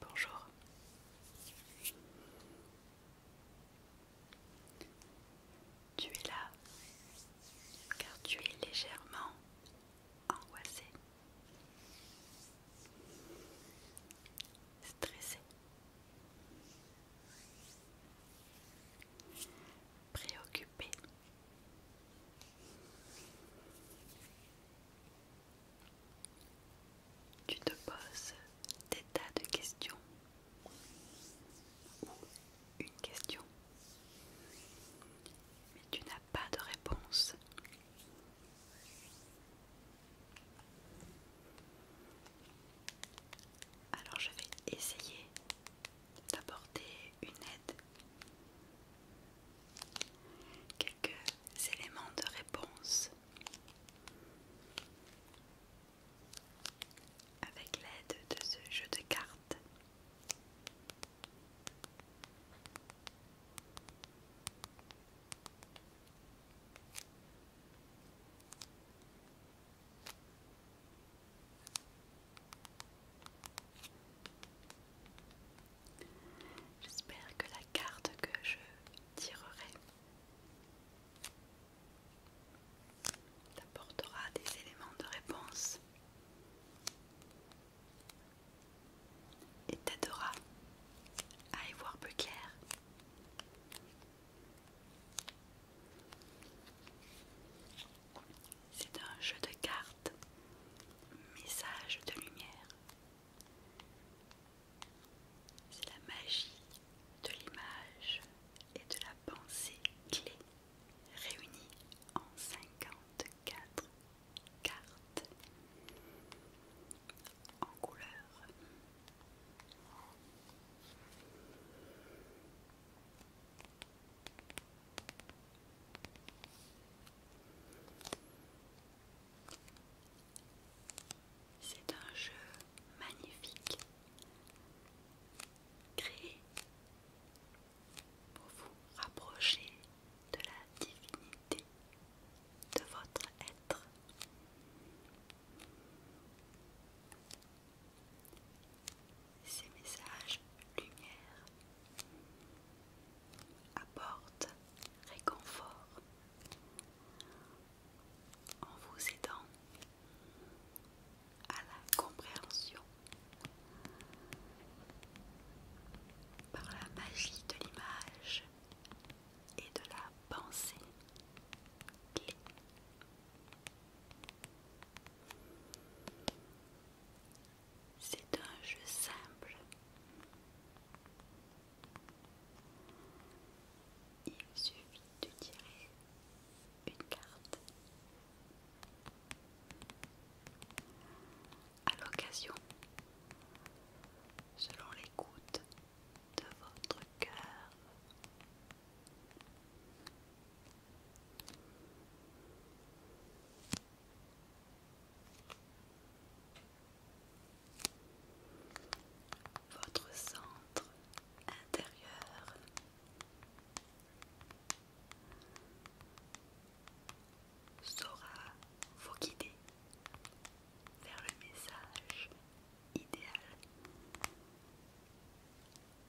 Bonjour. Tu es là car tu es légèrement angoissé, stressé, préoccupé. Tu te poses des tas de questions ou une question, mais tu n'as pas de réponse. Alors je vais essayer d'apporter une aide quelques éléments de réponse avec l'aide de ce jeu de cartes. J'espère que la carte que je tirerai t'apportera des éléments de réponse et t'aidera à y voir plus clair. C'est un jeu de cartes, message de lumière. C'est la magie de l'image et de la pensée clé réunie en 54 cartes en couleur. C'est un jeu magnifique créé pour vous rapprocher de la divinité de votre être ces messages lumière apportent réconfort en vous aidant à la compréhension par la magie de l'image et de la pensée. C'est un jeu simple. Il suffit de tirer une carte. À l'occasion, selon l'écoute de votre cœur, votre centre intérieur. Saura vous guider vers le message idéal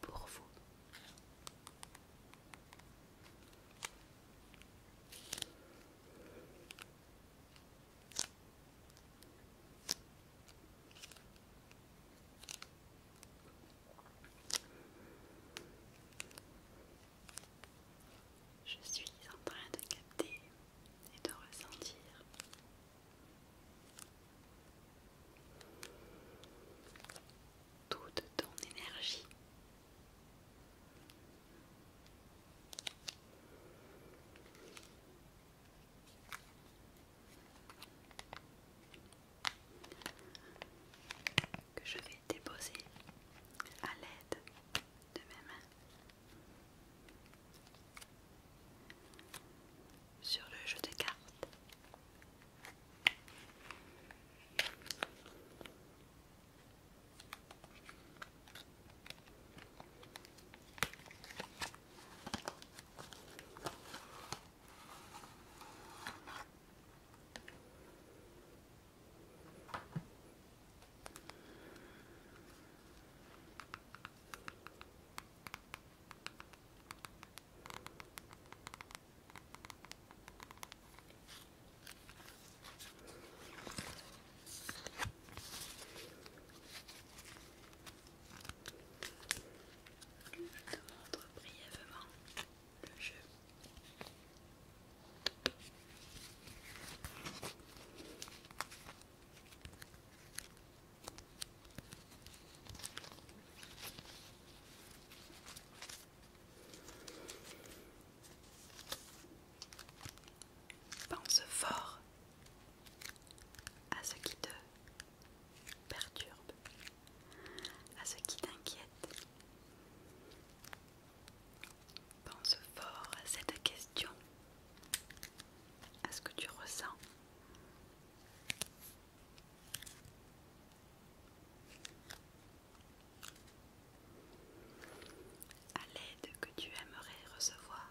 pour vous. Je suis en train de capter et de ressentir toute ton énergie. Que je vais déposer à l'aide de mes mains sur le jeu de cartes. Je te montre brièvement le jeu. Pense fort à ce qui te perturbe, à ce qui t'inquiète. Pense fort à cette question, à ce que tu ressens, à l'aide que tu aimerais recevoir.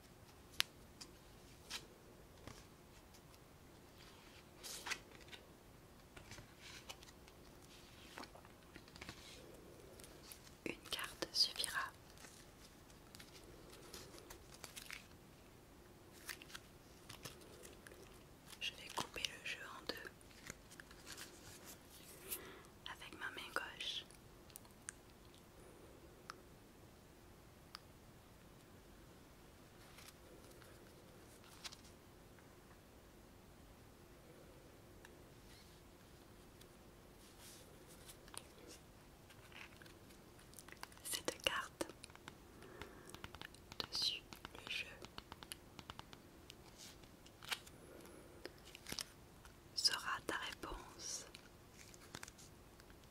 Une carte suffira. Je vais couper le jeu en deux avec ma main gauche cette carte dessus le jeu sera ta réponse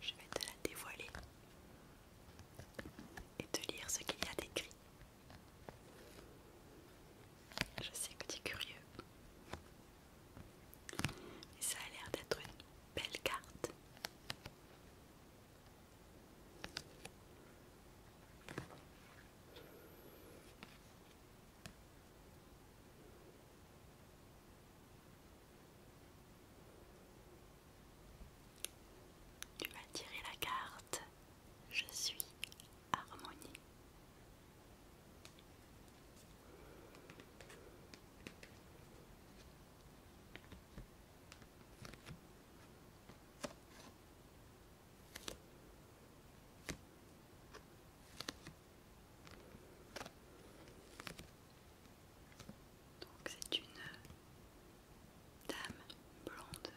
je vais te la dévoiler et te lire ce qu'il y a d'écrit. Je sais que tu es curieux. Et ça a l'air d'être une belle carte. Tu m'as tirer la carte. Je suis harmonie c'est une dame blonde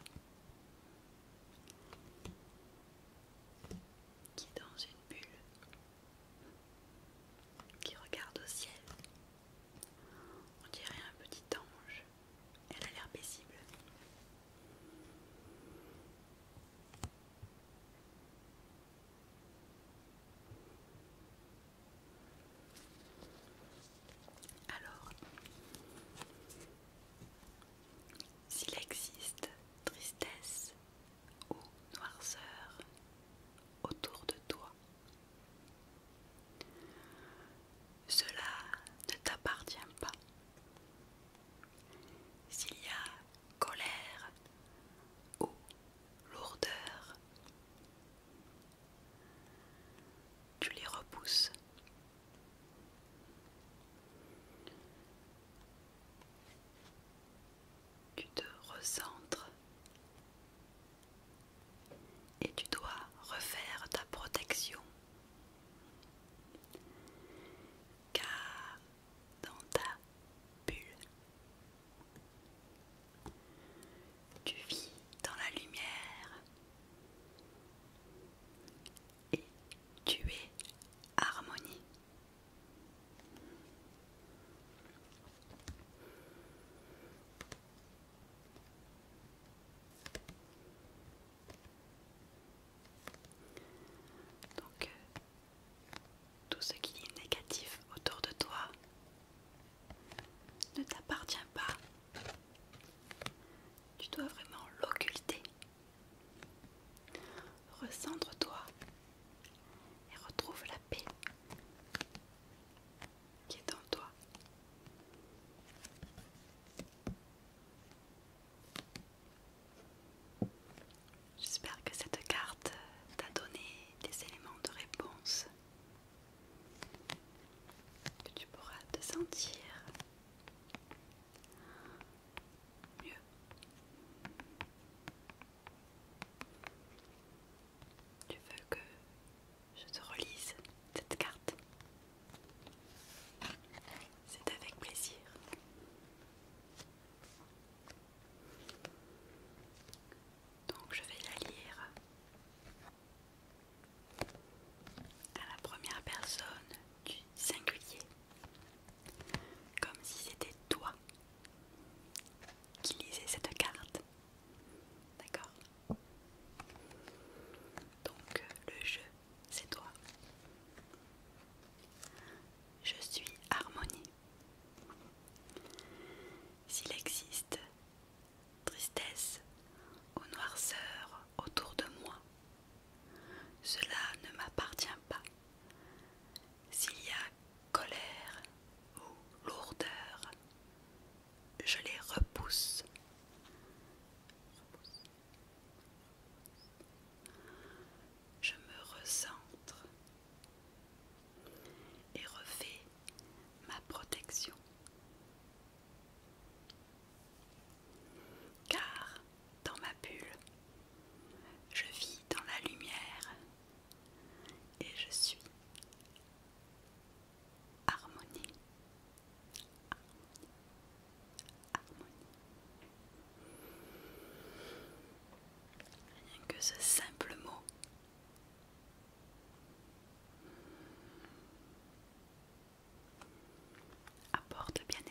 qui est dans une bulle, qui regarde au ciel. On dirait un petit ange. Elle a l'air paisible. Alors, s'il existe tristesse ou noirceur autour de toi, cela ne t'appartient pas. S'il y a colère ou lourdeur. Tu les repousses. Tu te recentres et tu dois refaire ta protection car dans ta bulle, tu vis dans la lumière et tu es harmonie. Euh, tout ce qui est négatif autour de toi ne t'appartient pas. Tu dois vraiment l'occulter. Recentre-toi et retrouve la paix qui est en toi. J'espère que cette carte t'a donné des éléments de réponse que tu pourras te sentir mieux. Tu veux que je te relise cette carte C'est avec plaisir. Donc je vais la lire à la première personne du singulier, comme si c'était toi qui lisais cette carte. D'accord Donc le jeu, c'est toi. Je suis Harmonie s'il existe tristesse ou noirceur autour de moi, cela ne m'appartient pas. S'il y a colère ou lourdeur, je les repousse je me recentre et refais ma protection. Car dans ma bulle, je vis dans la lumière et je suis harmonie. Rien que ce simple mot. Apporte bien-être.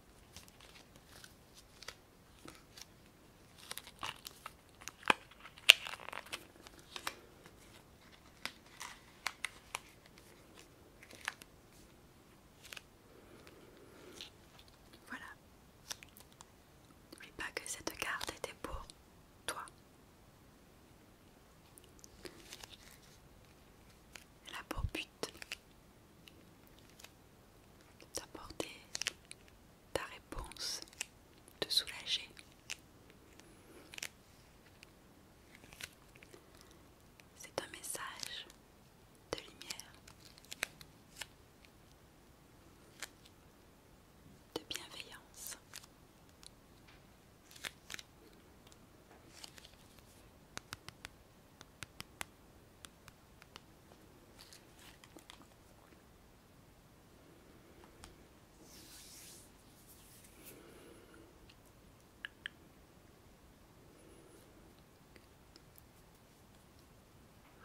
Voilà. N'oublie pas que cette carte était pour toi. Elle a pour but d'apporter ta réponse, de soulager. C'est un message de lumière, de bienveillance.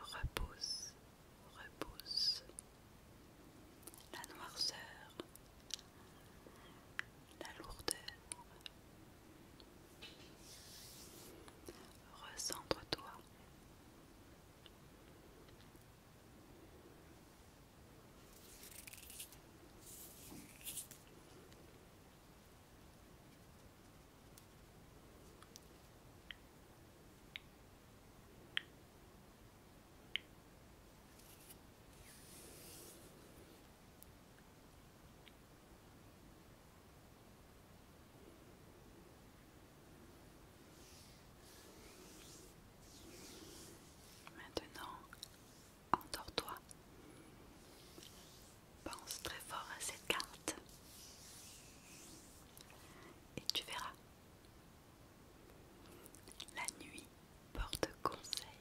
Repousse, repousse la noirceur la lourdeur. ressens toi Maintenant, endors-toi. Pense très fort à cette carte et tu verras. La nuit porte conseil.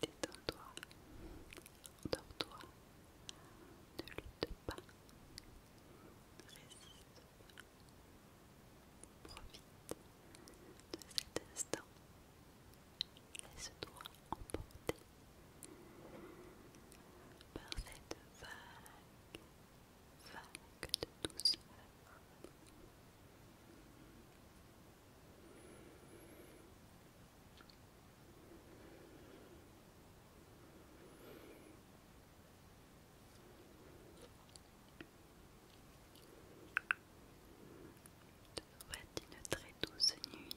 Détends-toi, endors-toi, ne lutte pas, résiste pas, profite de cet instant, laisse-toi emporter par cette vague, vague de douceur souhaite une très douce nuit.